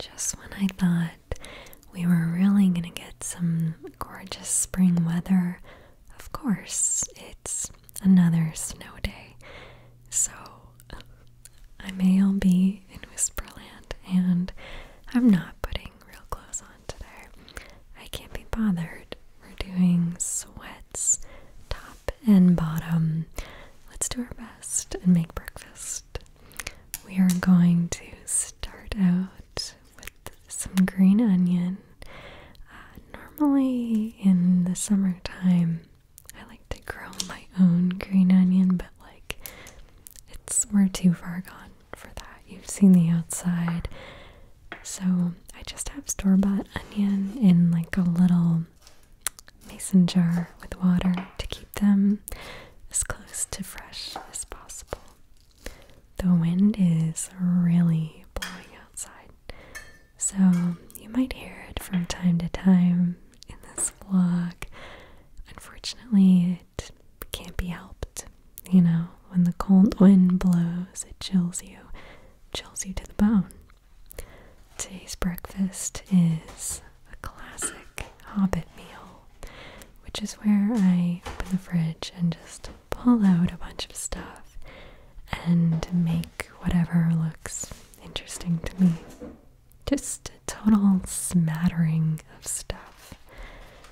Just when I thought we were really going to get some gorgeous spring weather, of course, it's another snow day. So I may all be in Whisperland, and I'm not putting real clothes on today. I can't be bothered. We're doing sweats, top and bottom. Let's do our best and make breakfast we are going to start out with some green onion. Uh, normally in the summertime, I like to grow my own green onion, but like it's we're too far gone for that. You've seen the outside. So I just have store bought onion in like a little mason jar with water to keep them as close to fresh as possible. The wind is really blowing outside, so you might hear it from time to time in this vlog. Unfortunately, it can't be helped. You know, when the cold wind blows, it chills you, chills you to the bone. Today's breakfast is a classic hobbit meal, which is where I open the fridge and just pull out a bunch of stuff and make whatever looks interesting to me. Just a total smattering of stuff.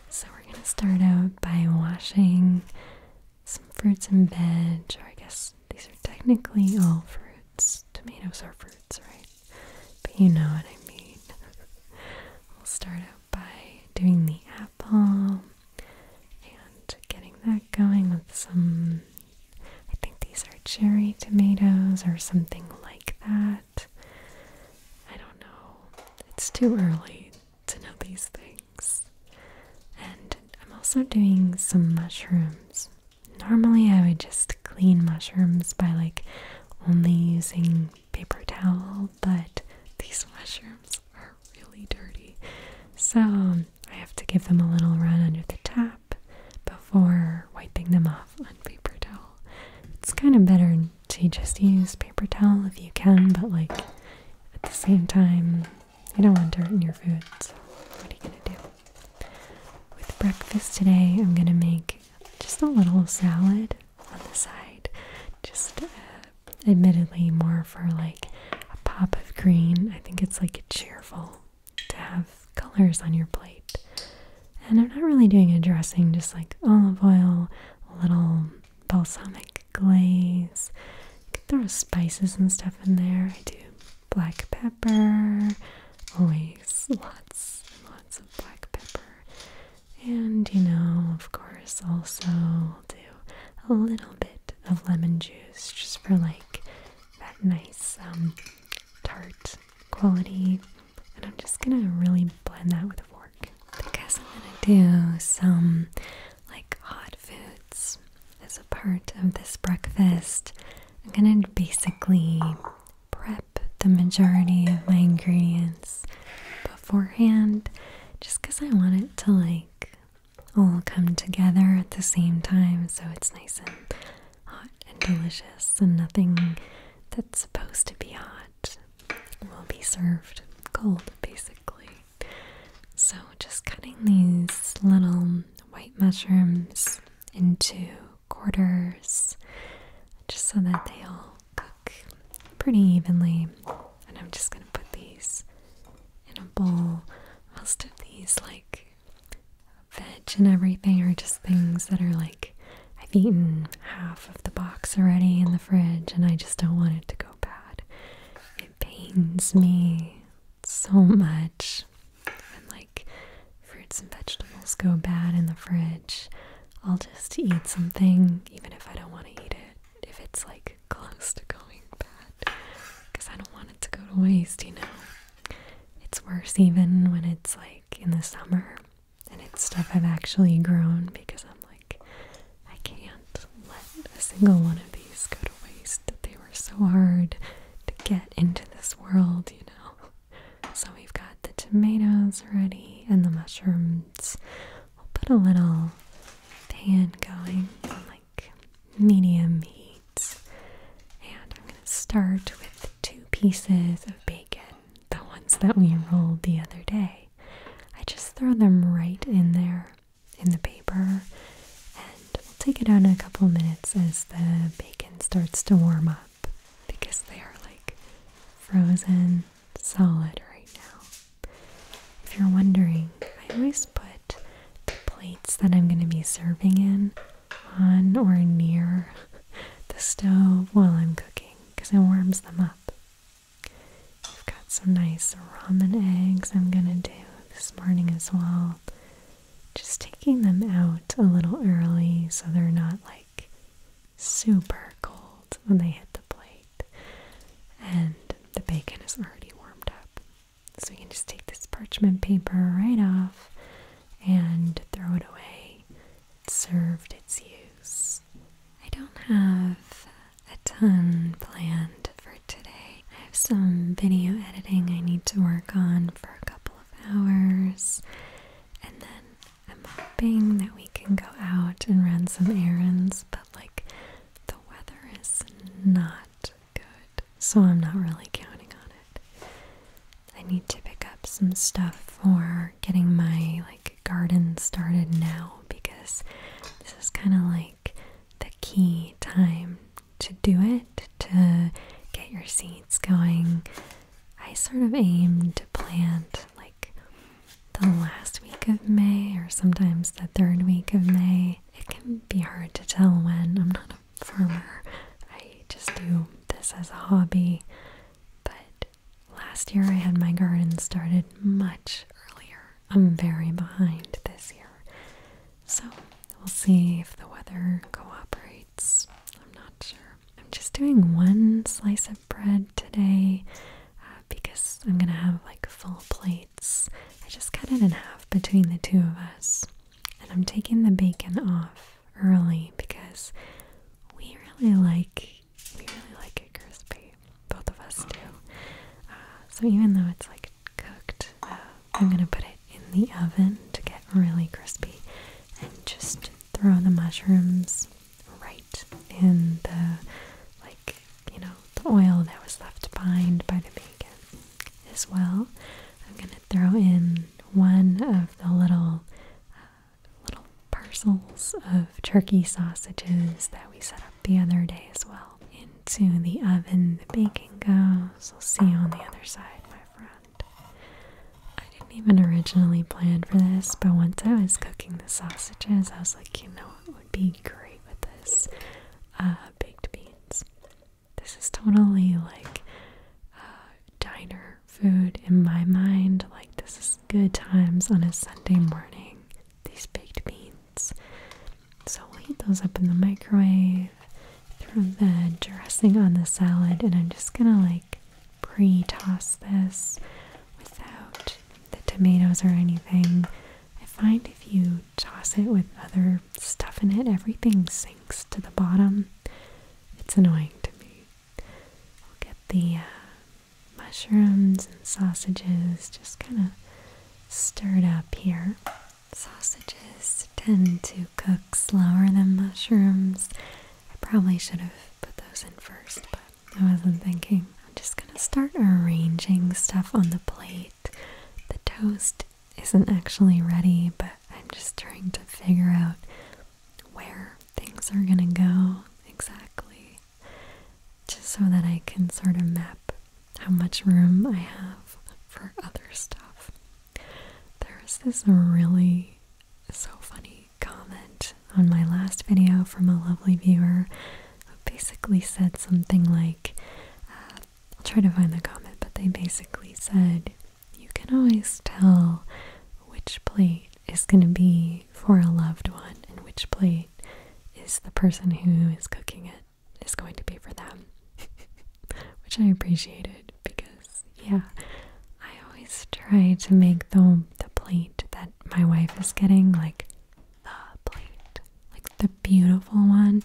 So, we're going to start out by washing some fruits and veg, or I guess these are technically all fruits. Tomatoes are fruit words, right? But you know what I mean. we'll start out by doing the apple and getting that going with some. I think these are cherry tomatoes or something like that. I don't know. It's too early to know these things. And I'm also doing some mushrooms. Normally, I would just clean mushrooms by like only using paper towel, but these mushrooms are really dirty. So um, I have to give them a little run under the tap before wiping them off on paper towel. It's kind of better to just use paper towel if you can, but like at the same time, you don't want dirt in your food, so what are you gonna do? With breakfast today, I'm gonna make just a little salad on the side. Just uh, admittedly more for like a pop of green. I think it's like cheerful to have colors on your plate. And I'm not really doing a dressing, just like olive oil, little balsamic glaze. You could throw spices and stuff in there. I do black pepper, always lots and lots of black pepper. And you know, of course, also do a little bit of lemon juice just for like that nice um, tart quality. And I'm just gonna really blend that with a fork because I'm gonna do some like hot foods as a part of this breakfast. I'm gonna basically prep the majority of my ingredients beforehand just because I want it to like all come together at the same time so it's nice and hot and delicious and nothing that's supposed to be hot will be served cold basically. So just cutting these little white mushrooms into quarters just so that they all cook pretty evenly. And I'm just going to put these in a bowl. Most of these, like veg and everything, are just things that are like I've eaten half of the box already in the fridge and I just don't want it to go bad. It pains me so much when like fruits and vegetables go bad in the fridge, I'll just eat something even if I don't want to eat it, if it's like close to going bad, because I don't want it to go to waste, you know? It's worse even when it's like in the summer and it's stuff I've actually grown because I'm like, I can't let a single one of these go to waste. They were so hard to get into this world, you know? So we've got the tomatoes ready and the mushrooms. We'll put a little pan going on like medium heat. And I'm going to start with two pieces of bacon, the ones that we rolled the other day. I just throw them right in there in the paper and we'll take it out in a couple minutes as the bacon starts to warm up because they are like frozen solid right now. If you're wondering, I always put the plates that I'm going to be serving in on or near the stove while I'm cooking because it warms them up. I've got some nice ramen eggs I'm going to do this morning as well. Just taking them out a little early so they're not like super cold when they hit the plate, and the bacon is already warmed up. So we can just take this parchment paper right off and throw it away. It served its use. I don't have a ton planned for today. I have some video editing I need to work on for a couple of hours, and then I'm hoping that we can go out and run some errands, but like the weather is not good, so I'm not really counting on it. I need to pick up some stuff for getting my like garden started now because this is kind of like the key time to do it to get your seeds going I sort of aim to plant like the last week of May or sometimes the third week of May. It can be hard to tell when. I'm not a farmer, I just do this as a hobby. But last year I had my garden started much earlier. I'm very behind this year. So we'll see if the weather cooperates. I'm not sure. I'm just doing one slice of bread today uh, because I'm gonna have like full plates. I just cut it in half between the two of us. And I'm taking the bacon off early because we really like we really like it crispy. Both of us do. Uh, so even though it's like cooked, uh, I'm gonna put it in the oven to get really crispy and just throw the mushrooms right in the like you know the oil that was left behind by the bacon as well. I'm gonna throw in one of the little uh, little parcels of turkey sausages that we set up the other day as well into the oven. The bacon goes. We'll see you on the other side, my friend. I didn't even originally plan for this, but once I was cooking the sausages, I was like, you know it would be great with this? Uh, baked beans. This is totally like uh, diner food in my mind. Like, this is good times on a Sunday morning. These baked beans. So we'll heat those up in the microwave, throw the dressing on the salad, and I'm just gonna like pre-toss this without the tomatoes or anything. I find if you toss it with other stuff in it, everything sinks to the bottom. It's annoying to me. get the uh, mushrooms and sausages just kind of stirred up here. Sausages tend to cook slower than mushrooms. I probably should have put those in first, but I wasn't thinking. I'm just gonna start arranging stuff on the plate. The toast isn't actually ready, but I'm just trying to figure out where things are gonna go exactly, just so that I can sort of map how much room I have for other stuff. There's this really so funny comment on my last video from a lovely viewer who basically said something like, uh, I'll try to find the comment, but they basically said, You can always tell which plate is going to be for a loved one and which plate is the person who is cooking it is going to be for them, which I appreciated because yeah, I always try to make the the plate that my wife is getting like the plate, like the beautiful one.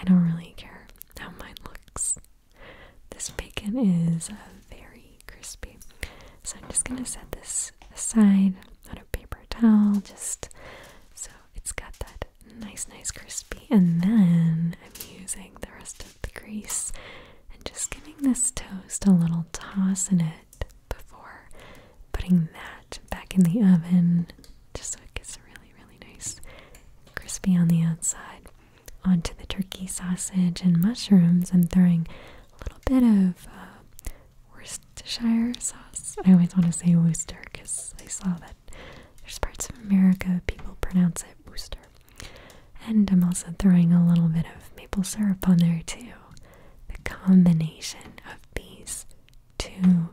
I don't really care how mine looks. This bacon is very crispy, so I'm just gonna set this aside on a paper towel, just so it's got that nice, nice crispy. And then I'm using the rest of the grease and just giving this toast a little toss in it before putting that back in the oven just so it gets really, really nice crispy on the outside. Onto the turkey sausage and mushrooms, and throwing a little bit of uh, Worcestershire sauce. I always want to say Worcester because I saw that there's parts of America people pronounce it Worcester. And I'm also throwing a little bit of maple syrup on there too. The combination of these two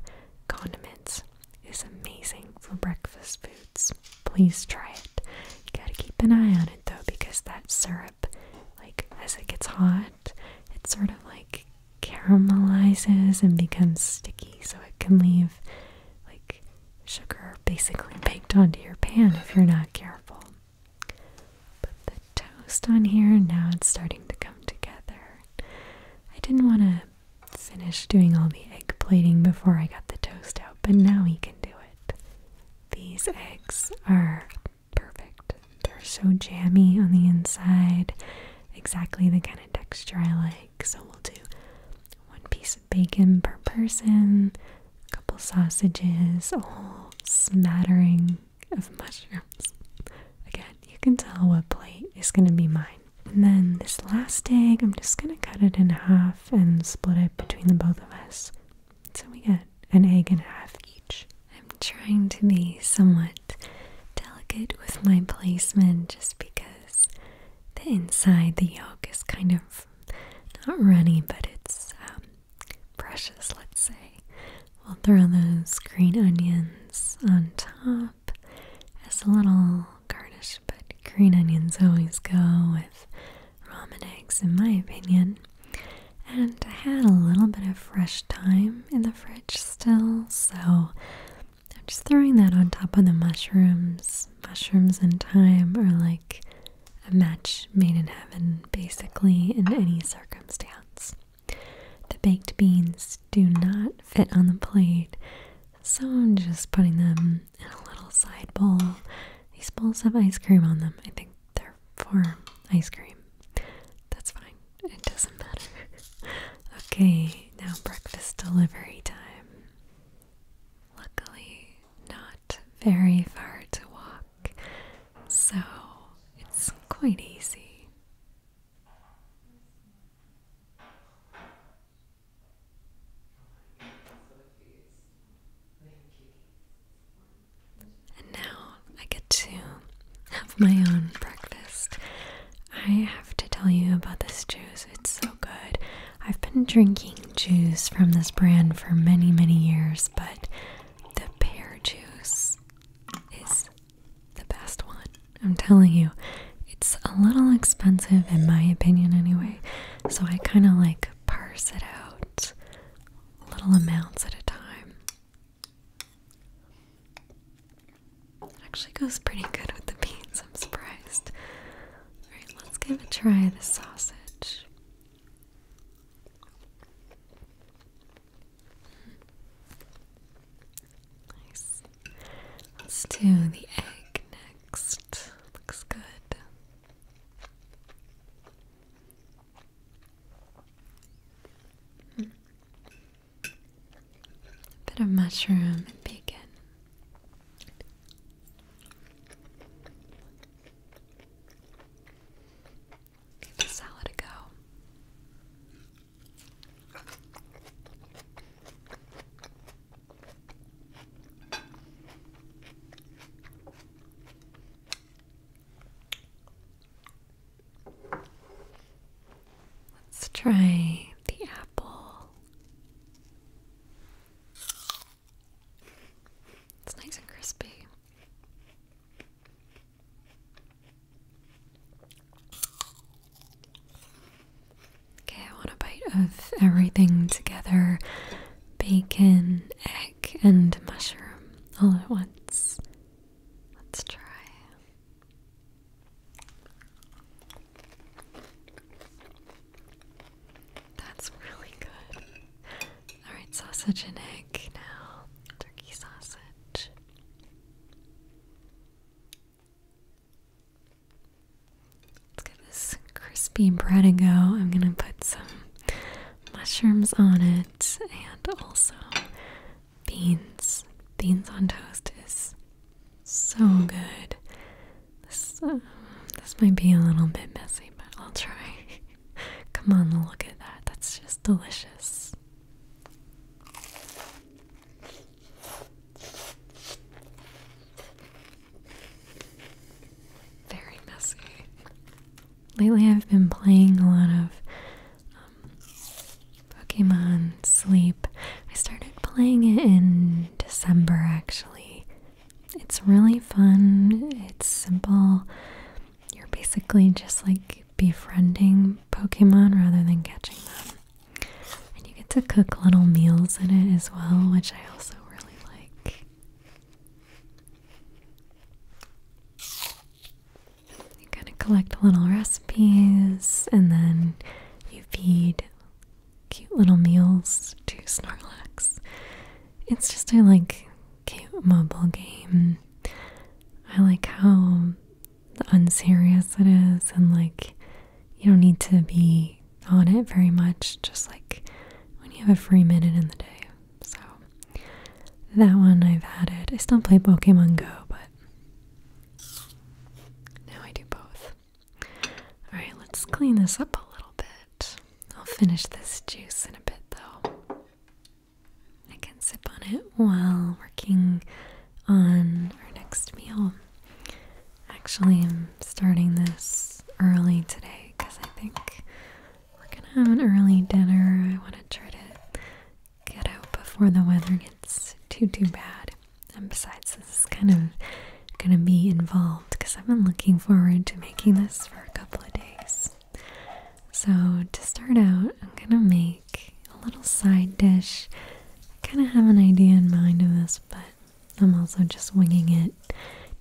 condiments is amazing for breakfast foods. Please try it. You gotta keep an eye on it though because that syrup, like as it gets hot, it sort of like caramelizes and becomes sticky so it can leave like sugar basically baked onto your pan if you're not careful. Put the toast on here, now it's starting to come together. I didn't want to finish doing all the egg plating before I got the toast out, but now we can do it. These eggs are perfect. They're so jammy on the inside, exactly the kind of texture I like. So we'll do one piece of bacon per person, a couple sausages, a whole smattering of mushrooms. Again, you can tell what plate is going to be mine. And then this last egg, I'm just going to cut it in half and split it between the both of us. So we get an egg and a half each. I'm trying to be somewhat delicate with my placement just because the inside, the yolk is kind of not runny, but it's um, precious, let's say. We'll throw those green onions on top as a little garnish, but green onions always go with ramen eggs, in my opinion. And I had a little bit of fresh thyme in the fridge still, so I'm just throwing that on top of the mushrooms mushrooms and thyme are like a match made in heaven, basically, in any circumstance. The baked beans do not fit on the plate, so I'm just putting them in a little side bowl. These bowls have ice cream on them. I think they're for ice cream. That's fine, it doesn't matter. okay, now breakfast delivery time. Luckily, not very far to walk, so it's quite easy. And now I get to have my own breakfast. I have to tell you about this juice. It's so good. I've been drinking juice from this brand for many, many years, but the pear juice is the best one. I'm telling you, it's a little expensive in my opinion, anyway, so I kind of like parse it out little amounts at a time. It actually goes pretty good with the beans, I'm surprised. Alright, let's give a try the sausage. Nice. Let's do the egg next. Looks good. Hmm. A bit of mushroom and bacon. Give the salad a go. Let's try the apple. It's nice and crispy. Okay, I want a bite of everything together bacon, egg, and mushroom all at once. Let's try. That's really good. Alright, sausage and egg now. Turkey sausage. Let's get this crispy bread and go. I'm gonna put some mushrooms on it and also beans. Beans on toast is so good. This uh, this might be a little bit messy, but I'll try. Come on, look at that. That's just delicious. Very messy. Lately, I've been playing a lot of um, Pokemon Sleep. I started playing it in December actually. It's really fun, it's simple. You're basically just like befriending Pokemon rather than catching them. And you get to cook little meals in it as well, which I also really like. You kind of collect little recipes and then you feed cute little meals to Snorlax. It's just a like cute mobile game. I like how unserious it is and like you don't need to be on it very much just like when you have a free minute in the day. So that one I've added. I still play Pokemon Go, but now I do both. Alright, let's clean this up a little bit. I'll finish this juice in a bit though. I can sip on it while working on our next meal. Actually, I'm starting this early today because I think we're gonna have an early dinner. I want to try to get out before the weather gets too, too bad. And besides, this is kind of gonna be involved because I've been looking forward to making this for a couple of days. So, to start out, I'm gonna make a little side dish. I kind of have an idea in mind of this, but I'm also just winging it,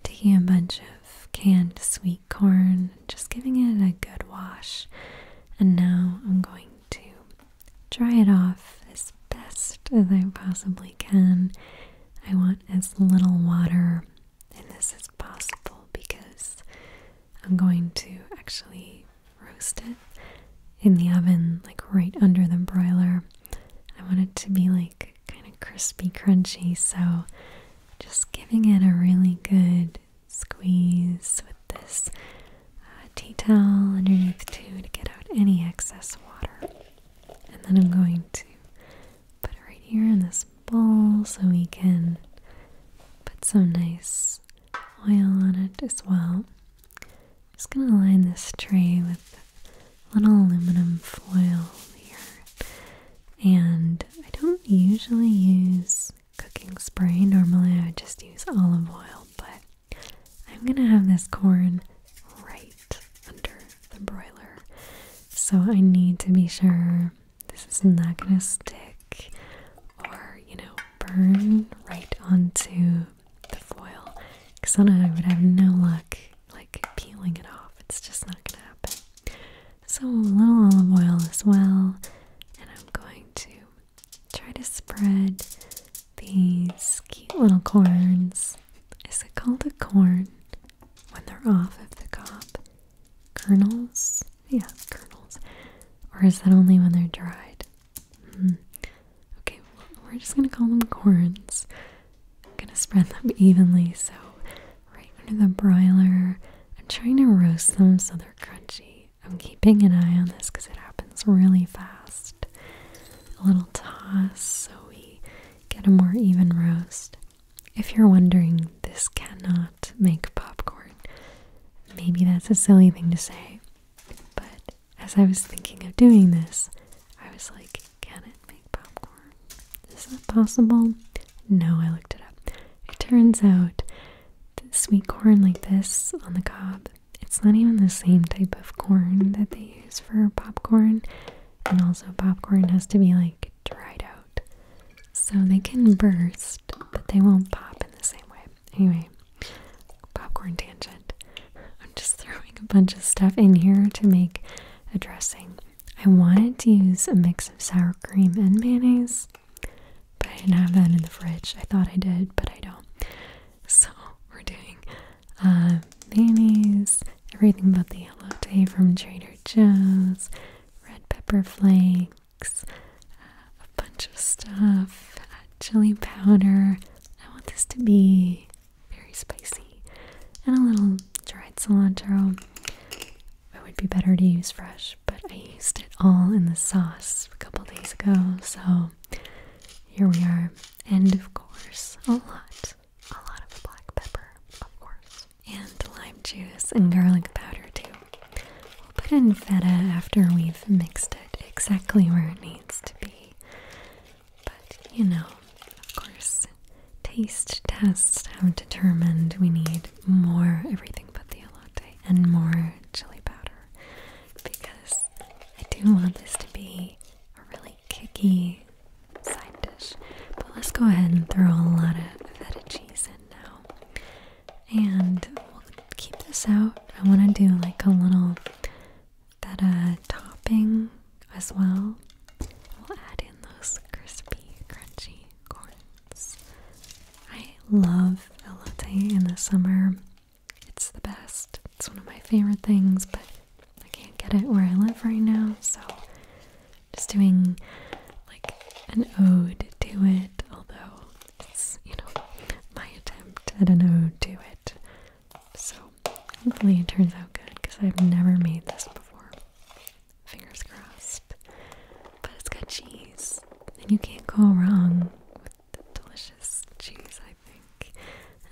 taking a bunch of canned sweet corn, just giving it a good wash, and now I'm going to dry it off as best as I possibly can I want as little water as possible because I'm going to actually roast it in the oven, like right under the broiler. I want it to be like kind of crispy, crunchy, so just giving it a really good squeeze with this uh, tea towel underneath, too, to get out any excess water. And then I'm going to put it right here in this bowl so we can put some nice oil on it as well. just going to line this tray with little aluminum foil here. And I don't usually use cooking spray. Normally I would just use olive oil, but I'm going to have this corn right under the broiler. So I need to be sure this is not gonna stick or, you know, burn right onto the foil. Because then I would have no luck like peeling it off. It's just not gonna happen. So a little olive oil as well, and I'm going to try to spread these cute little corns. Is it called a corn? when they're off of the cob. Kernels? Yeah, kernels. Or is that only when they're dried? Hmm. Okay, we're just gonna call them corns. I'm gonna spread them evenly, so right under the broiler. I'm trying to roast them so they're crunchy. I'm keeping an eye on this because it happens really fast. A little toss so we get a more even roast. If you're wondering, this cannot make popcorn. Maybe that's a silly thing to say, but as I was thinking of doing this, I was like, can it make popcorn? Is that possible? No, I looked it up. It turns out that sweet corn like this on the cob, it's not even the same type of corn that they use for popcorn. And also, popcorn has to be like dried out. So they can burst, but they won't pop in the same way. Anyway, popcorn tangent. I'm just throwing a bunch of stuff in here to make a dressing. I wanted to use a mix of sour cream and mayonnaise, but I didn't have that in the fridge. I thought I did, but I don't. So we're doing uh, mayonnaise, everything but the elote from Trader Joe's, red pepper flakes, uh, a bunch of stuff, uh, chili powder. I want this to be very spicy, and a little dried cilantro. It would be better to use fresh, but I used it all in the sauce a couple days ago, so here we are. And of course, a lot a lot of black pepper, of course, and lime juice and garlic powder too. We'll put in feta after we've mixed it exactly where it needs to be. But you know, of course, taste tests have determined we need more everything but the elote and more chili powder because I do want this to be a really kicky side dish. But let's go ahead and throw a lot of feta cheese in now. And we'll keep this out. I want to do like a little that feta topping as well. We'll add in those crispy, crunchy corns. I love elote in the summer. It's the best. It's one of my favorite things, but I can't get it where I live right now, so just doing like an ode to it, although it's, you know, my attempt at an ode to it. So hopefully it turns out good because I've never made this before. Fingers crossed. But it's got cheese, and you can't go wrong with delicious cheese, I think,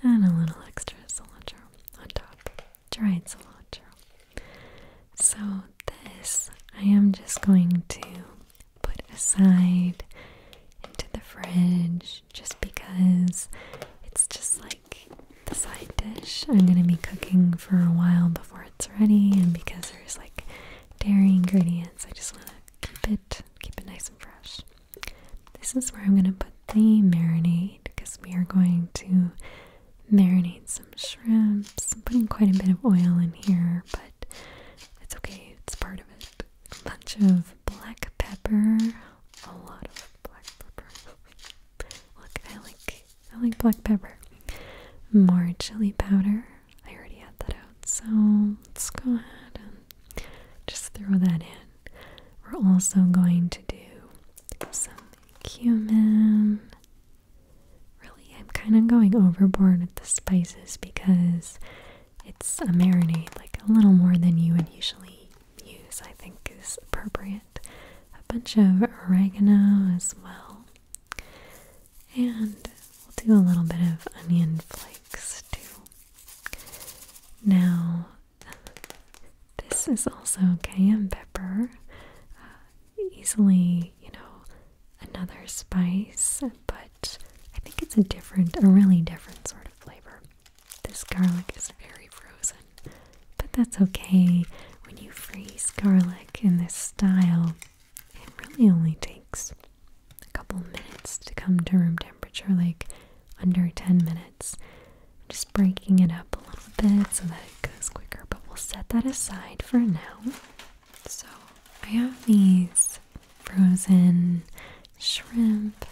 and a little extra cilantro on top. Dried cilantro. So this I am just going to put aside into the fridge just because it's just like the side dish I'm going to be cooking for a while before it's ready and because there's like dairy ingredients I just want to keep it keep it nice and fresh. This is where I'm going to put the marinade because we are going to marinate some shrimps. I'm putting quite a bit of oil in here, but it's okay, it's part of it. A bunch of black pepper, a lot of black pepper. Look, I like I like black pepper. More chili powder. I already had that out, so let's go ahead and just throw that in. We're also going to do some Cumin. Really, I'm kind of going overboard with the spices because it's a marinade, like a little more than you would usually use, I think is appropriate. A bunch of oregano as well. And we'll do a little bit of onion flakes too. Now, This is also cayenne pepper, uh, easily, you know, another spice, but I think it's a different, a really different sort of flavor. This garlic is very frozen, but that's okay. When you freeze garlic in this style, it really only takes a couple minutes to come to room temperature. Like under 10 minutes. just breaking it up a little bit so that it goes quicker, but we'll set that aside for now. So I have these frozen shrimp.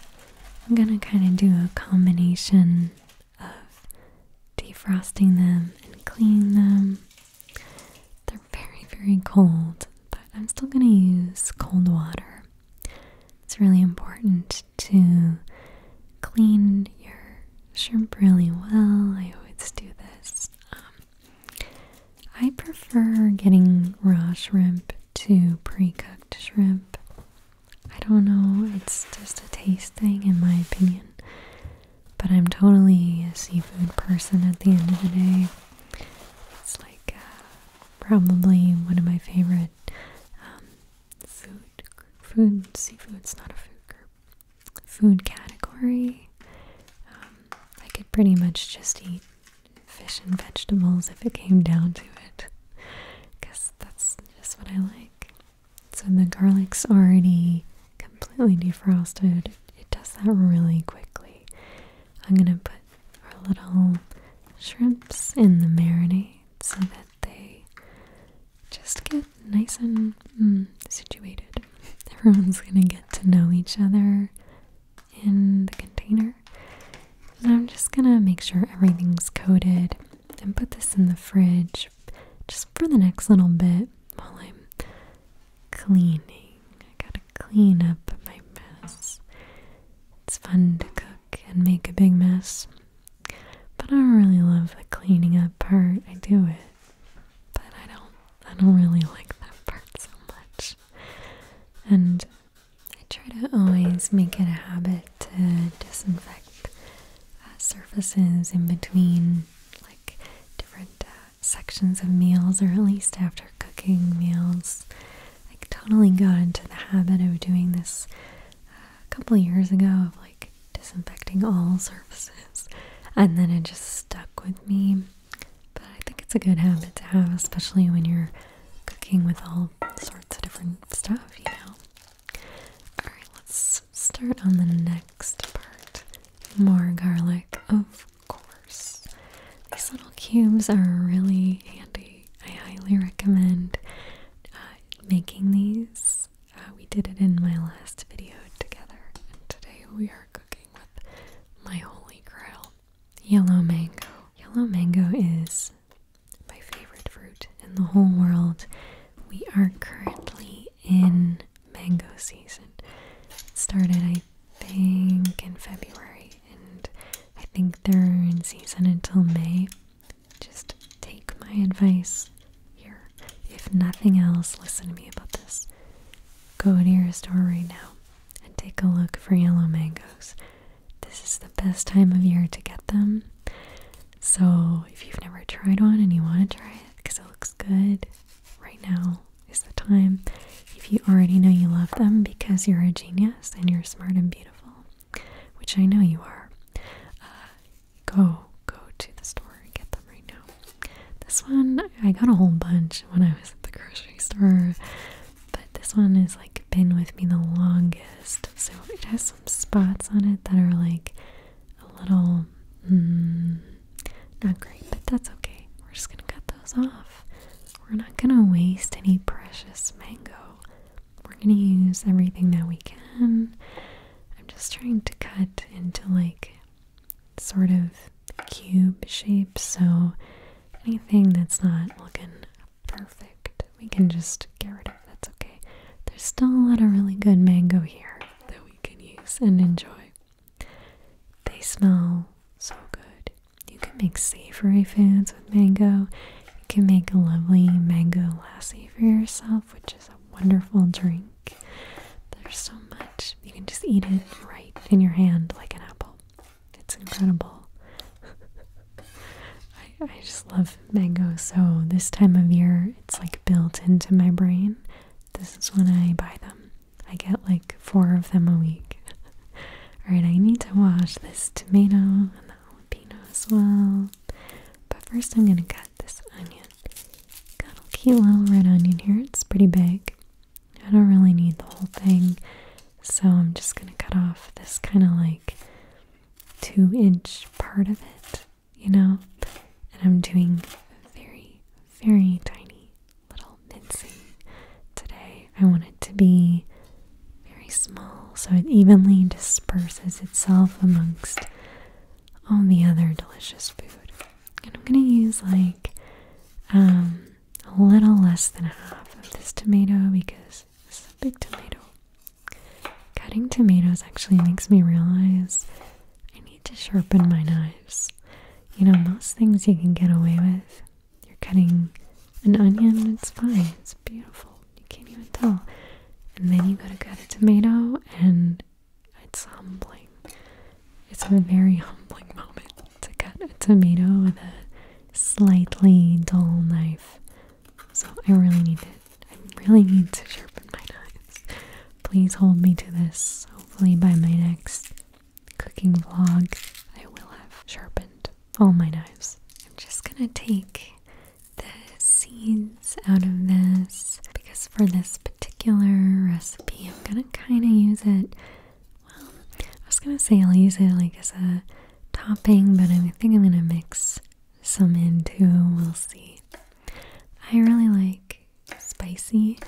I'm gonna kind of do a combination of defrosting them and cleaning them. They're very, very cold, but I'm still gonna use cold water. It's really important to clean your shrimp really well. I always do this. Um, I prefer getting raw shrimp to pre cooked shrimp. I don't know, it's just a taste thing in my opinion. But I'm totally a seafood person at the end of the day. It's like uh, probably one of my favorite um, food, food and seafood's not a food group. Food category. Um, I could pretty much just eat fish and vegetables if it came down to it, because that's just what I like. So the garlic's already completely defrosted. It does that really quickly. I'm gonna put our little shrimps in the marinade so that they just get nice and hmm, situated. Everyone's gonna get to know each other in the container. I'm just gonna make sure everything's coated and put this in the fridge just for the next little bit while I'm cleaning. I gotta clean up my mess. It's fun to cook and make a big mess. But I really love the cleaning up part. I do it. But I don't I don't really like that part so much. And I try to always make it a habit to disinfect uh, surfaces in between like different uh, sections of meals or at least after cooking meals. Like totally got into the habit of doing this uh, a couple years ago of like disinfecting all surfaces, and then it just stuck with me. But I think it's a good habit to have, especially when you're cooking with all sorts of different stuff, you know. All right, let's start on the next part. More garlic, of course. These little cubes are really handy. I highly recommend uh, making these. Uh, we did it in my last video together, and today we are cooking with my holy grail yellow mango. Yellow mango is my favorite fruit in the whole world. We are currently in mango season. started, I think, in February, and I think they're in season until May. Just take my advice here. If nothing else, listen to me about this. Go to your store right now and take a look for yellow mangoes. This is the best time of year to get them. So, if you've never tried one and you want to try it because it looks good, right now is the time. If you already know you love them because you're a genius and you're smart and beautiful, which I know you are, uh, go go to the store and get them right now. This one I got a whole bunch when I was at the grocery store, but this one has like been with me the longest. So it has some spots on it that are like a little mm, not great, but that's okay. We're just gonna cut those off. We're not gonna waste any precious mango we're gonna use everything that we can. I'm just trying to cut into like sort of cube shapes. so anything that's not looking perfect, we can just get rid of. That's okay. There's still a lot of really good mango here that we can use and enjoy. They smell so good. You can make savory foods with mango. You can make a lovely mango lassi for yourself, which is a wonderful drink. There's so much. You can just eat it right in your hand like an apple. It's incredible. I, just love mango, so this time of year it's like built into my brain. This is when I buy them. I get like four of them a week. Alright, I need to wash this tomato and the jalapeno as well. But first, I'm going to cut this onion. Got a cute little red onion here. It's pretty big. I don't really need the whole thing, so I'm just going to cut off this kind of like two inch part of it, you know? And I'm doing very, very tiny little mincing today. I want it to be very small, so it evenly disperses itself amongst all the other delicious food. And I'm going to use like um, a little less than half of this tomato because this is a big tomato. Cutting tomatoes actually makes me realize I need to sharpen my knives. You know, most things you can get away with. You're cutting an onion, it's fine, it's beautiful. You can't even tell. And then you gotta cut a tomato, and it's humbling. It's a very humbling moment to cut a tomato with a slightly dull knife. So I really need to. I really need to sharpen my knives. Please hold me to this. Hopefully, by my next cooking vlog, I will have sharpened all my knives. I'm just gonna take the seeds out of this because for this particular recipe, I'm gonna kind of use it. Well, I was gonna say I'll use it like as a topping, but I think I'm gonna mix some in too. We'll see. I really like spicy,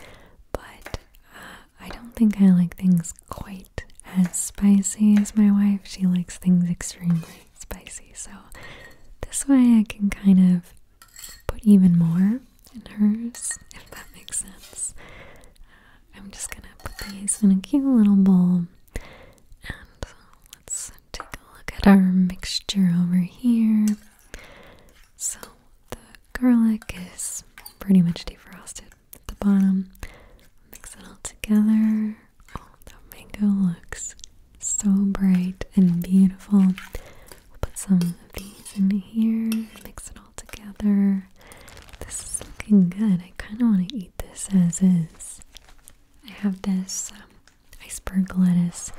but uh, I don't think I like things quite as spicy as my wife. She likes things extremely spicy. So this way I can kind of put even more in hers, if that makes sense. Uh, I'm just gonna put these in a cute little bowl. And let's take a look at our mixture over here. So the garlic is pretty much defrosted at the bottom. Mix it all together. Oh, the mango looks so bright and beautiful. We'll put some of these in here, mix it all together. This is looking good. I kind of want to eat this as is. I have this um, iceberg lettuce.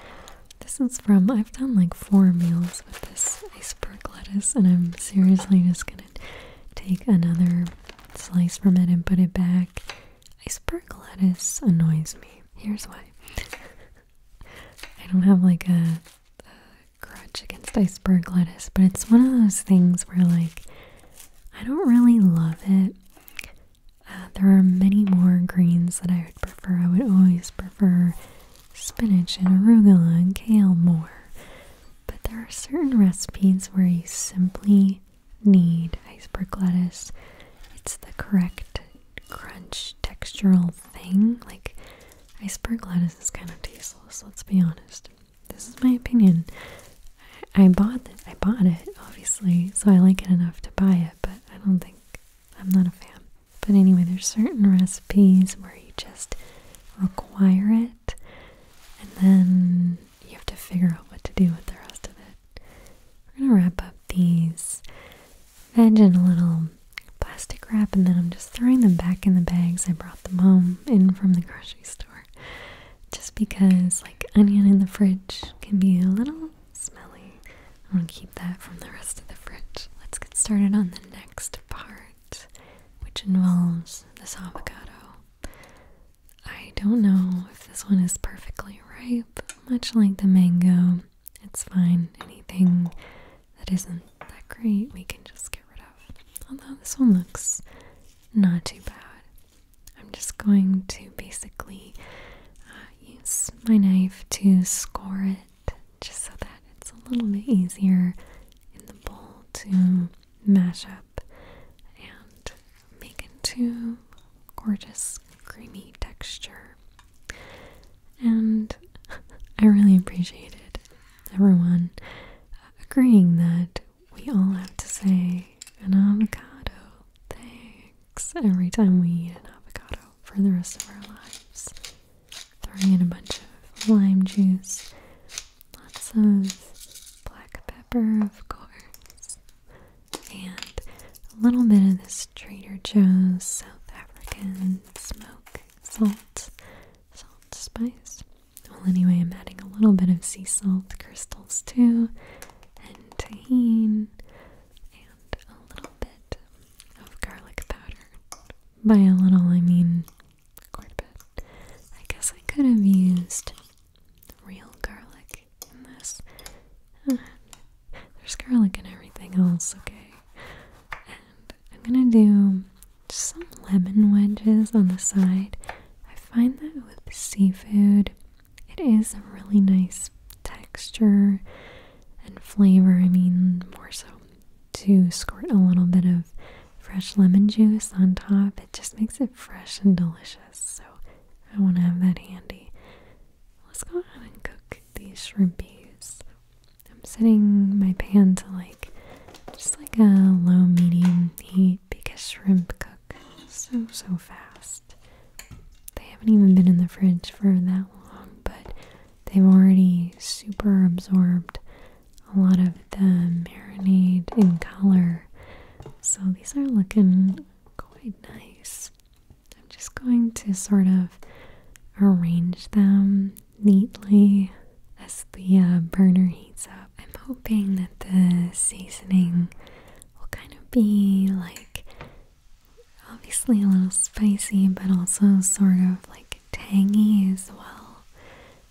This is from, I've done like four meals with this iceberg lettuce, and I'm seriously just gonna take another slice from it and put it back Iceberg lettuce annoys me. Here's why. I don't have like a, grudge against iceberg lettuce, but it's one of those things where like I don't really love it. Uh, there are many more greens that I would prefer. I would always prefer spinach and arugula and kale more. But there are certain recipes where you simply need iceberg lettuce. It's the correct crunch textural thing. Like, iceberg lettuce is kind of tasteless, let's be honest. This is my opinion. I, bought it. I bought it, obviously, so I like it enough to buy it, but I don't think I'm not a fan. But anyway, there's certain recipes where you just require it, and then you have to figure out what to do with the rest of it. We're gonna wrap up these and in a little plastic wrap and then I'm just throwing them back in the bags. I brought them home in from the grocery store just because like onion in the fridge can be a little smelly. I want to keep that from the rest of the fridge. Let's get started on the next part, which involves this avocado. I don't know if this one is perfectly ripe, much like the mango. It's fine. Anything that isn't that great, we can just get rid of. Although this one looks not too bad. I'm just going to basically uh, use my knife to score it just so that it's a little bit easier in the bowl to mash up and make into gorgeous creamy texture. And I really appreciate it. everyone uh, agreeing that we all have to say an avocado thanks every time we eat an avocado for the rest of our lives. Throwing in a bunch of lime juice, lots of black pepper, of course, and a little bit of this Trader Joe's South African smoke salt, salt spice. Well, anyway, I'm adding a little bit of sea salt crystals too, and tahine, and a little bit of garlic powder. By a little, I mean quite a bit. I guess I could have used real garlic there's garlic and everything else, okay? And I'm gonna do some lemon wedges on the side. I find that with seafood, it is a really nice texture and flavor. I mean, more so to squirt a little bit of fresh lemon juice on top. It just makes it fresh and delicious. So I want to have that handy. Let's go ahead and cook these shrimpies. I'm setting my pan to like just like a low medium heat because shrimp cook so so fast. They haven't even been in the fridge for that long, but they've already super absorbed a lot of the marinade and color. So these are looking quite nice. I'm just going to sort of arrange them neatly as the uh, burner heats up. I'm hoping that the seasoning will kind of be like obviously a little spicy, but also sort of like tangy as well.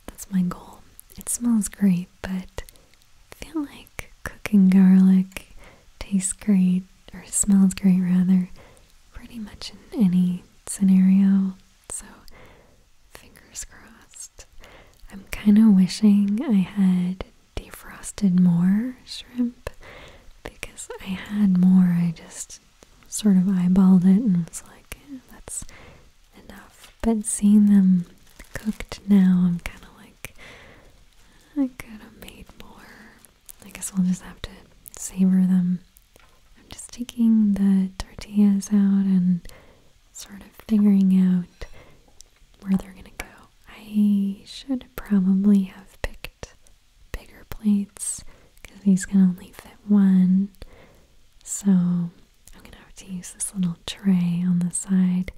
That's my goal. It smells great, but I feel like cooking garlic tastes great, or smells great rather, pretty much in any scenario. So, fingers crossed. I'm kind of wishing I had defrosted more shrimp because I had more. I just sort of eyeballed it and was like, eh, that's enough. But seeing them cooked now, I'm kind of like, I could have made more. I guess we'll just have to savor them. I'm just taking the tortillas out and sort of figuring out where they're gonna go. I should probably have picked bigger plates because these can only fit one. So I'm gonna have to use this little tray on the side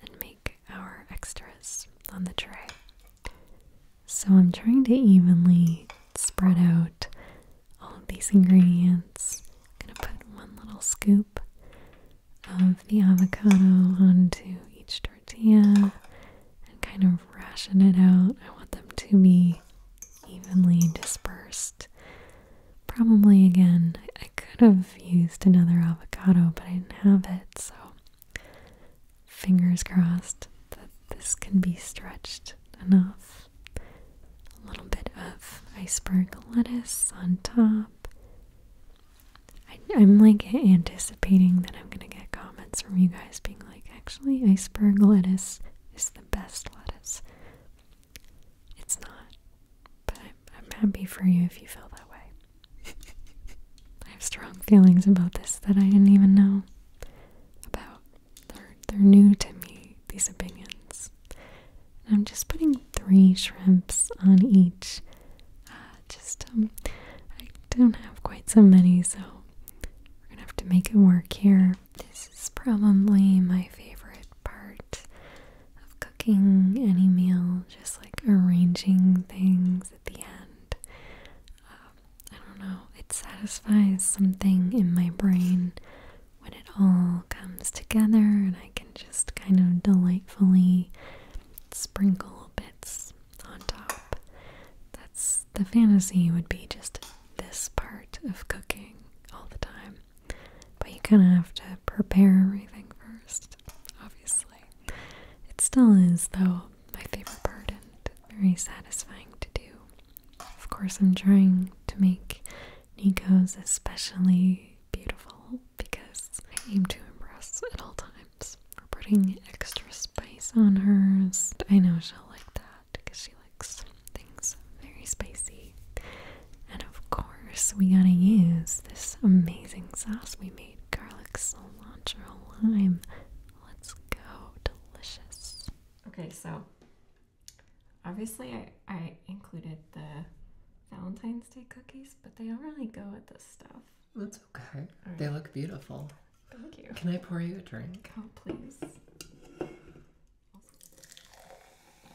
and make our extras on the tray. So I'm trying to evenly spread out all of these ingredients. I'm going to put one little scoop of the avocado onto each tortilla and kind of ration it out. I want them to be evenly dispersed. Probably again, I could have used another avocado, but I didn't have it, so fingers crossed that this can be stretched enough. A little bit of iceberg lettuce on top. I, I'm like anticipating that I'm gonna get comments from you guys being like, actually, iceberg lettuce is the best lettuce. It's not but I'm, happy for you if you feel that way. I have strong feelings about this that I didn't even know about. They're, they're new to me, these opinions. I'm just putting three shrimps on each. Uh, just, um, I don't have quite so many, so we're gonna have to make it work here. This is probably my favorite part of cooking cooking any meal, just like arranging things at the end. Uh, I don't know, it satisfies something in my brain when it all comes together and I can just kind of delightfully sprinkle bits on top. That's the fantasy would be just this part of cooking all the time. But you kind of have to prepare everything first obviously. It still is, though, my favorite part and very satisfying to do. Of course, I'm trying to make Nico's especially beautiful because I aim to impress at all times. We're putting extra spice on hers. I know she'll like that because she likes things very spicy. And of course, we gotta use this amazing sauce we made garlic, cilantro, lime. Let's go. Delicious. Okay, so obviously, I, included the Valentine's Day cookies, but they don't really go with this stuff. That's okay. They look beautiful. Thank you. Can I pour you a drink? Oh, please.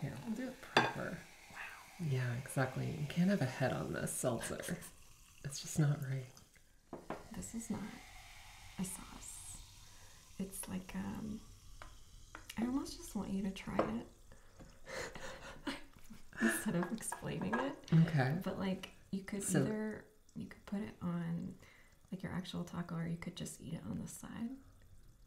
Here, we'll do it proper. Yeah, exactly. You can't have a head on this seltzer. it's just not right. This is not a sauce. It's like um I almost just want you to try it. Instead of explaining it. Okay. But like you could either you could put it on like your actual taco or you could just eat it on the side.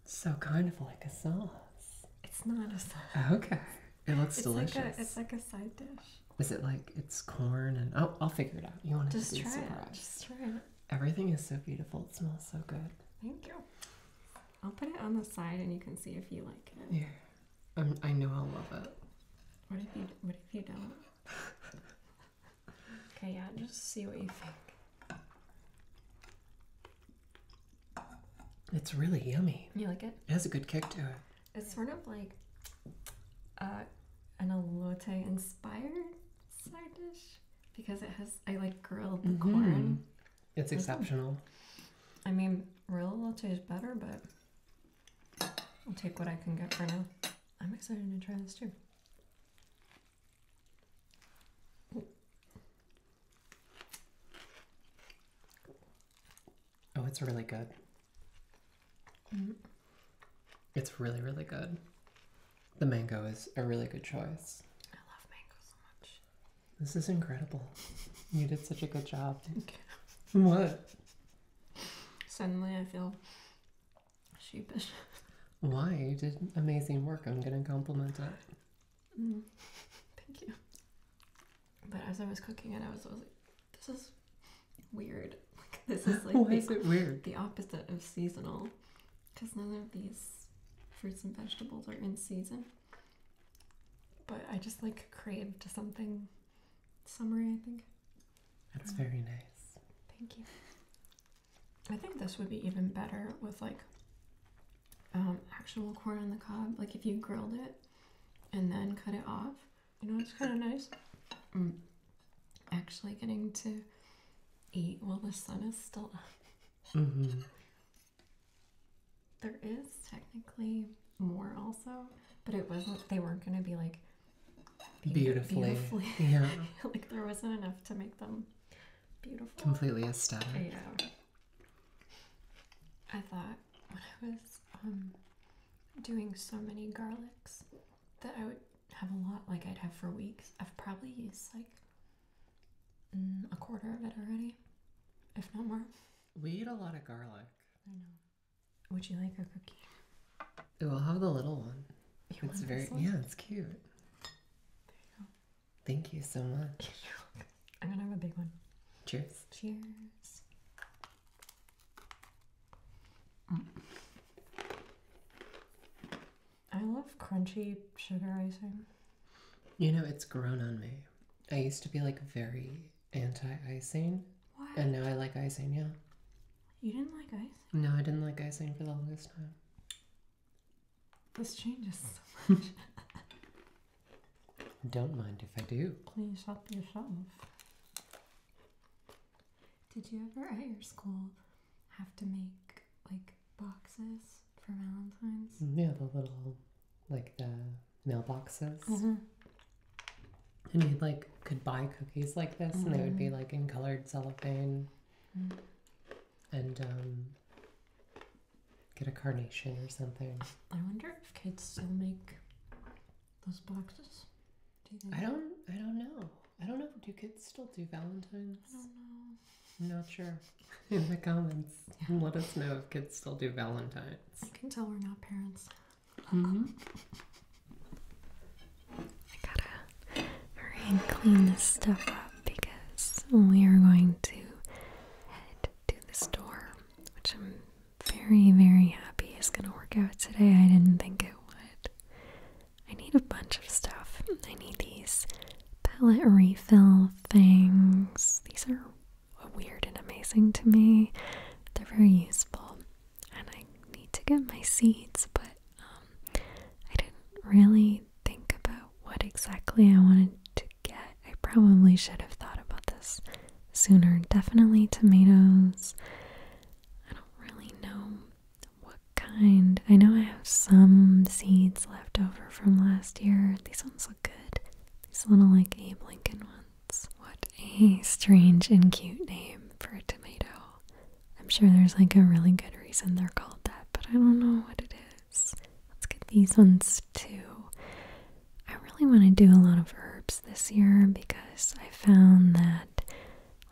So kind of like a sauce. It's not a sauce. Okay. It looks delicious. it's like a side dish. Is it like it's corn and oh, I'll figure it out. You want to just try surprised. Just try it. Everything is so beautiful. It smells so good. Thank you. I'll put it on the side and you can see if you like it. Yeah, i i know I'll love it. What if you What if you don't? okay, yeah, just see what you think. It's really yummy. You like it? It has a good kick to it. It's sort of like uh, an alote inspired side dish because it has, I like grilled mm corn. It's exceptional. I mean, real alote is better, but I'll take what I can get for now. I'm excited to try this too. Oh, it's really good. It's really, really good. The mango is a really good choice. I love mango so much. This is incredible. you did such a good job. Thank you. What? Suddenly I feel sheepish. Why? You did amazing work. I'm going to compliment it. Mm. Thank you. But as I was cooking it, I was, like, this is weird. Like, this is like Why is it weird? The opposite of seasonal, because none of these fruits and vegetables are in season. But I just like craved something summery. I think. That's very nice. Thank you. I think this would be even better with like um, actual corn on the cob, like if you grilled it and then cut it off. You know, it's kind of nice. Mm. Actually, getting to eat while the sun is still up. Mm-hmm. is technically more also, but it wasn't. They weren't going to be like beautifully. Yeah. like there wasn't enough to make them beautiful. Completely aesthetic. Yeah. I thought when I was um, doing so many garlics that I would have a lot, like I'd have for weeks. I've probably used like mm, a quarter of it already, if not more. We eat a lot of garlic. I know. Would you like a cookie? We'll have the little one. it's very, yeah, it's cute. There you go. Thank you so much. I'm gonna have a big one. Cheers. Cheers. Mm. I love crunchy sugar icing. You know, it's grown on me. I used to be like very anti icing. What? And now I like icing, yeah. You didn't like icing? No, I didn't like icing for the longest time. This changes so much. Don't mind if I do. Please help yourself. Did you ever at your school have to make like boxes for Valentine's? Mm, yeah, the little like the mailboxes. Mm-hmm. And you like could buy cookies like this, and they would be mm-hmm. like in colored cellophane. Mm-hmm. And um, get a carnation or something. I wonder if kids still make those boxes. Do you think? I don't. I don't know. I don't know. Do kids still do Valentine's? I don't know. not sure. In the comments, let us know if kids still do Valentine's. I can tell we're not parents. Mm-hmm. I gotta hurry and clean this stuff up because we are going to head to the store, which I'm very, very happy is going to work out today. I didn't think it would. I need a bunch of stuff. I need these pellet refill things. These are weird and amazing to me. They're very useful. And I need to get my seeds, but um, I didn't really think about what exactly I wanted to I probably should have thought about this sooner. Definitely tomatoes. I don't really know what kind. I know I have some seeds left over from last year. These ones look good. These little like Abe Lincoln ones. What a strange and cute name for a tomato. I'm sure there's like a really good reason they're called that, but I don't know what it is. Let's get these ones too. I really want to do a lot of herbs this year because I found that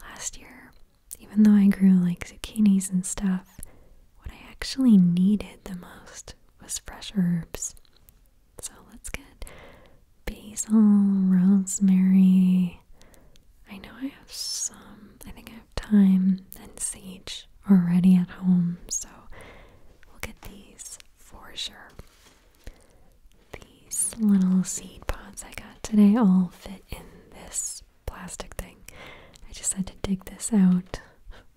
last year, even though I grew like zucchinis and stuff, what I actually needed the most was fresh herbs. So let's get basil, rosemary. I know I have some, I think I have thyme and sage already at home, so we'll get these for sure. These little seed pods I got today all fit in this plastic thing. I just had to dig this out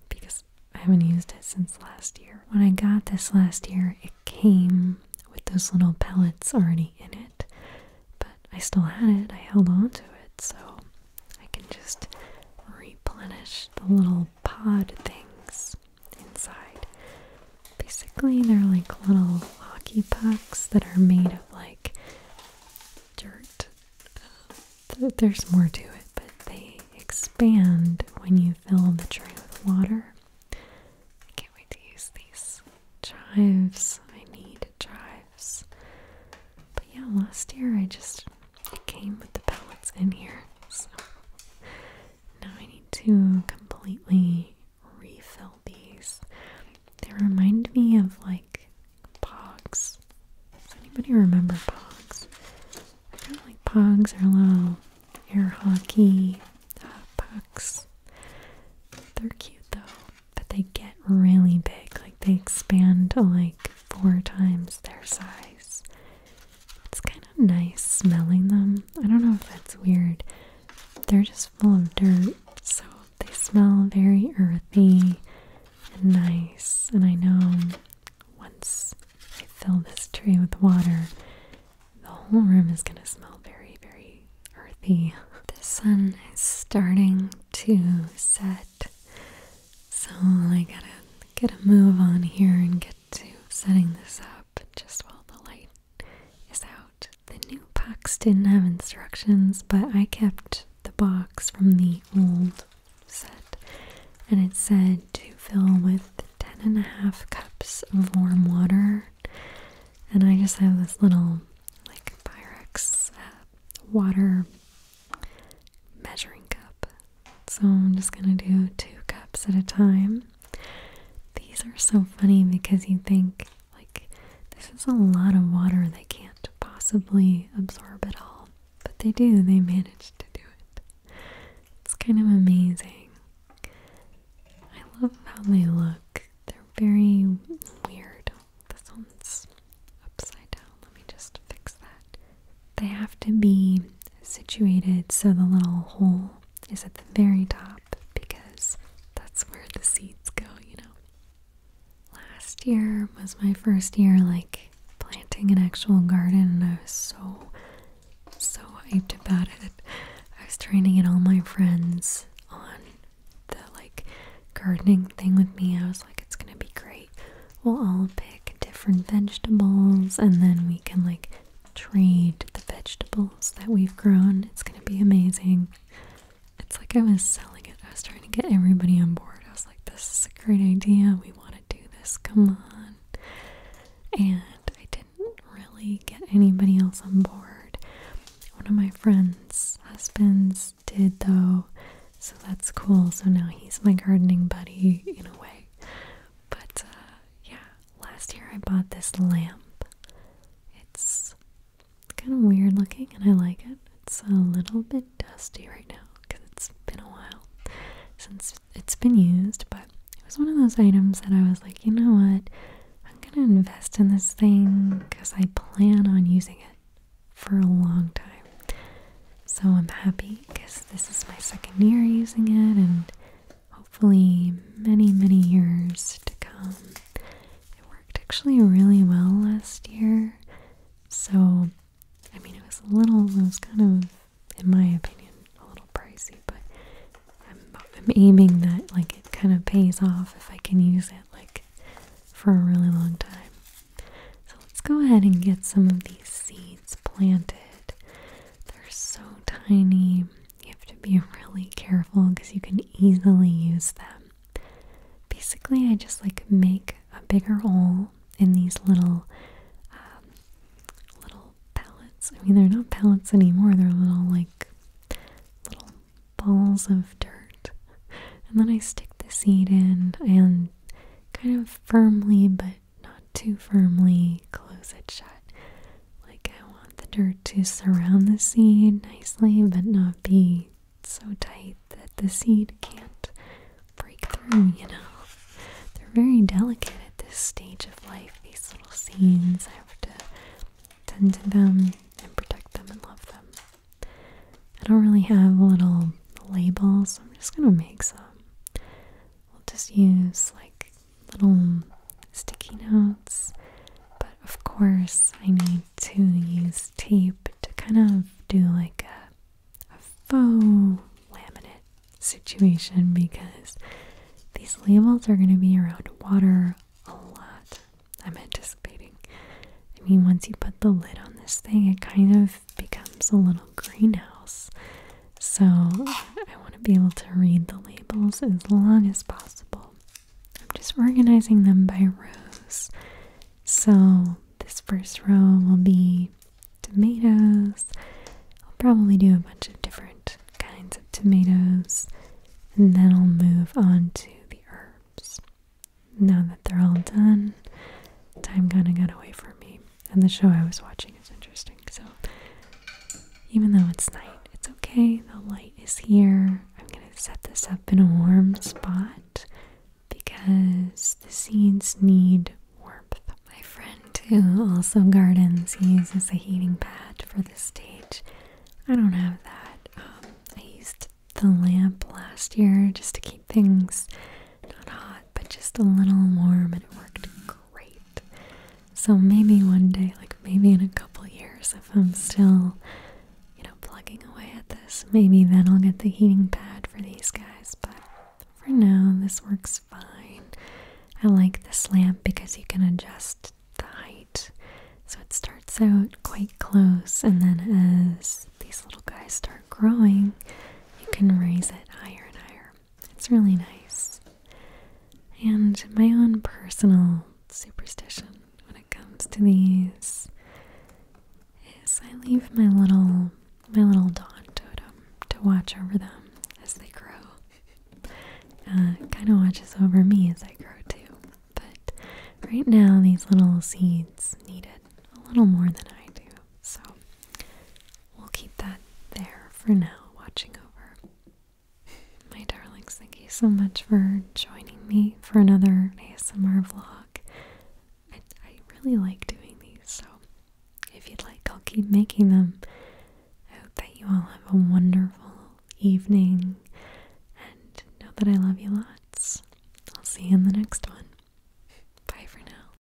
because I haven't used it since last year. When I got this last year, it came with those little pellets already in it, but I still had it. I held on to it, so I can just replenish the little pod things inside. Basically, they're like little hockey pucks that are made of like dirt. there's more to it, but they expand when you fill the tray with water. I can't wait to use these chives. I need chives. But yeah, last year I just it came with the palettes in here. So now I need to completely refill these. They remind me of like pogs. Does anybody remember pogs? I kind like pogs are little air hockey uh, pucks. They're cute though, but they get really big. Like they expand to like four times their size. It's kind of nice smelling them. I don't know if that's weird. They're just full of dirt, so they smell very earthy and nice. And I know once I fill this tray with water, the whole room is going to smell very, very earthy. The sun is starting to set. So I gotta get a move on here and get to setting this up just while the light is out. The new box didn't have instructions, but I kept the box from the old set and it said to fill with 10 and a half cups of warm water. And I just have this little like Pyrex uh, water measuring cup. So I'm just going to do two cups at a time. These are so funny because you think, like, this is a lot of water they can't possibly absorb it all. But they do, they manage to do it. It's kind of amazing. I love how they look. They're very weird. This upside down. Let me just fix that. They have to be situated so the little hole is at the very top because that's where the seeds go, you know. Last year was my first year like planting an actual garden and I was so so hyped about it. I was trying to get all my friends on the like gardening thing with me. I was like it's going to be great we'll all pick different vegetables and then we can like trade the vegetables that we've grown. It's gonna be amazing. It's like I was selling it, I was trying to get everybody on board. I was like, this is a great idea, we want to do this, come on. And I didn't really get anybody else on board. One of my friends' husbands did though, so that's cool. So now he's my gardening buddy in a way. But uh, yeah, last year I bought this lamp. It's kind of weird looking and I like it. It's a little bit dusty right now because it's been a while since it's been used, but it was one of those items that I was like, you know what? I'm going to invest in this thing because I plan on using it for a long time. So I'm happy because this is my second year using it, and hopefully, many, many years to come. It worked actually really well last year. So, I mean, it was a little, it was kind of, in my opinion, a little pricey, but I'm, aiming that like it kind of pays off if I can use it like for a really long time. So let's go ahead and get some of these seeds planted. They're so tiny. You have to be really careful because you can easily use them. Basically, I just like make a bigger hole in these little um, little pellets. I mean, they're not pellets anymore. They're little like little balls of dirt. And then I stick the seed in and kind of firmly but not too firmly close it shut. Like, I want the dirt to surround the seed nicely, but not be so tight that the seed can't break through, you know. They're very delicate at this stage of life. These little seeds, I have to tend to them and protect them and love them. I don't really have little labels, so I'm just gonna make some we will just use like little sticky notes. But of course, I need to use tape to kind of do like a faux laminate situation because these labels are going to be around water a lot. I'm anticipating. I mean, once you put the lid on this thing, it kind of becomes a little greenhouse. So I want to be able to read the labels as long as possible. I'm just organizing them by rows. So this first row will be tomatoes. I'll probably do a bunch of different kinds of tomatoes and then I'll move on to the herbs. Now that they're all done, time kind of got away from me and the show I was watching is interesting. So even though it's night, it's okay. The light is here. I'm going to set this up in a warm spot because the seeds need warmth. My friend who also gardens uses a heating pad for this stage. I don't have that. Um, I used the lamp last year just to keep things not hot but just a little warm and it worked great. So maybe one day, like maybe in a couple years if I'm still you know plugging away at this, maybe then I'll get the heating pad for these guys, but for now this works fine. I like this lamp because you can adjust the height. So it starts out quite close and then as these little guys start growing, you can raise it higher and higher. It's really nice. And my own personal superstition when it comes to these is I leave my little my little dawn totem to watch over them as they grow. Uh, it kind of watches over me as I grow too. But right now, these little seeds need it a little more than I do. So we'll keep that there for now, watching over. My darlings, thank you so much for joining me for another ASMR vlog. I, really like doing these, so if you'd like, I'll keep making them. I hope that you all have a wonderful evening and know that I love you lots. I'll see you in the next one. Bye for now.